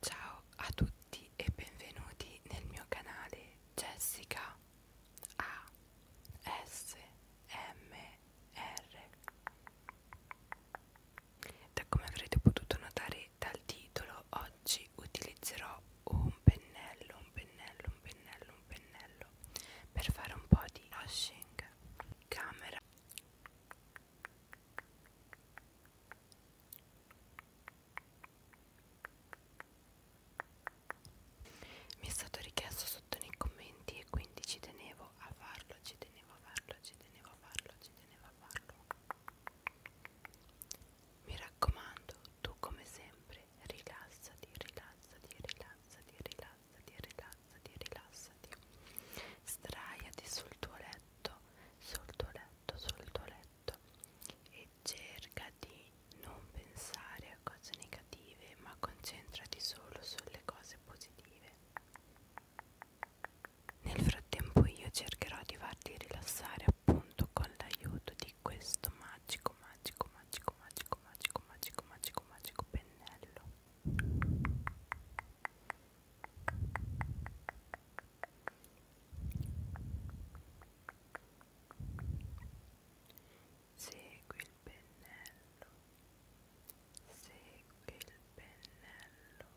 Ciao a tutti e benvenuti nel mio canale Jessica ASMR. Da come avrete potuto notare dal titolo oggi utilizzerò un pennello, un pennello, un pennello, un pennello per fare un po' di brushing. Camera. Mi è stato richiesto sotto nei commenti e quindi ci tenevo a farlo, ci tenevo a farlo, ci tenevo a farlo, ci tenevo a farlo. Mi raccomando, tu come sempre rilassati, rilassati, rilassati, rilassati, rilassati, rilassati. Straiati sul tuo letto, sul tuo letto, sul tuo letto e cerca di non pensare a cose negative, ma concentrati solo sulle cose positive. Nel frattempo io cercherò di farti rilassare appunto con l'aiuto di questo magico, magico, magico, magico, magico, magico, magico, magico pennello segui il pennello segui il pennello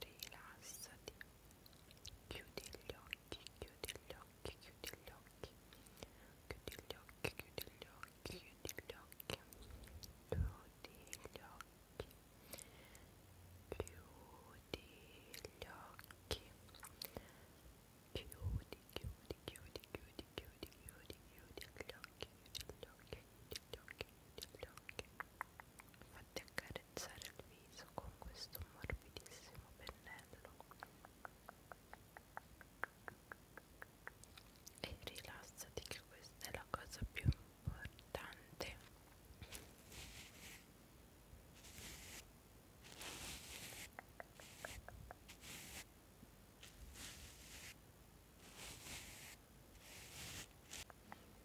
rilassati, chiudi gli occhi, chiudi gli occhi, chiudi gli occhi, chiudi gli occhi, chiudi gli occhi, chiudi gli occhi, chiudi gli occhi, chiudi gli occhi, chiudi, chiudi, chiudi, chiudi, chiudi, chiudi, chiudi gli occhi, chiudi gli occhi, chiudi gli occhi, chiudi gli occhi, fatti accarezz accarezzare il viso con questo morbidissimo pennello e rilassati che questa è la cosa più importante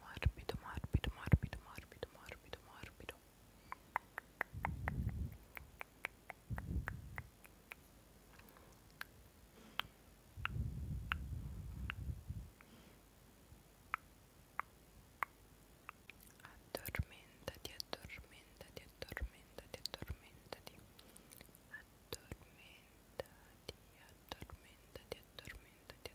mórbido, mórbido, mórbido, mórbido, mórbido, mórbido. Addormentati, addormentati, addormentati, addormentati. Addormentati, addormentati, addormentati,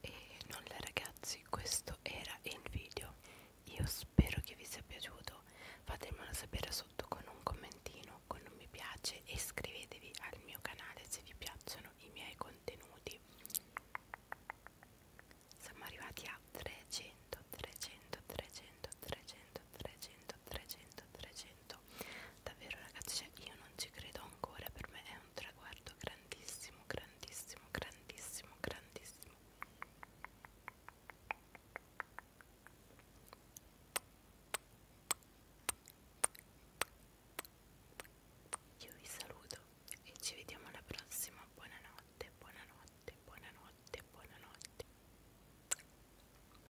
E nulla ragazzi, questo era il video. Io spero che vi sia piaciuto. Fatemelo sapere sotto con un commentino, con un mi piace e iscrivetevi al mio canale se vi piacciono i miei contenuti. Siamo arrivati a 300, 300, 300, 300, 300, 300, 300 davvero ragazzi cioè, io non ci credo ancora per me è un traguardo grandissimo grandissimo grandissimo grandissimo io vi saluto e ci vediamo alla prossima buonanotte buonanotte buonanotte buonanotte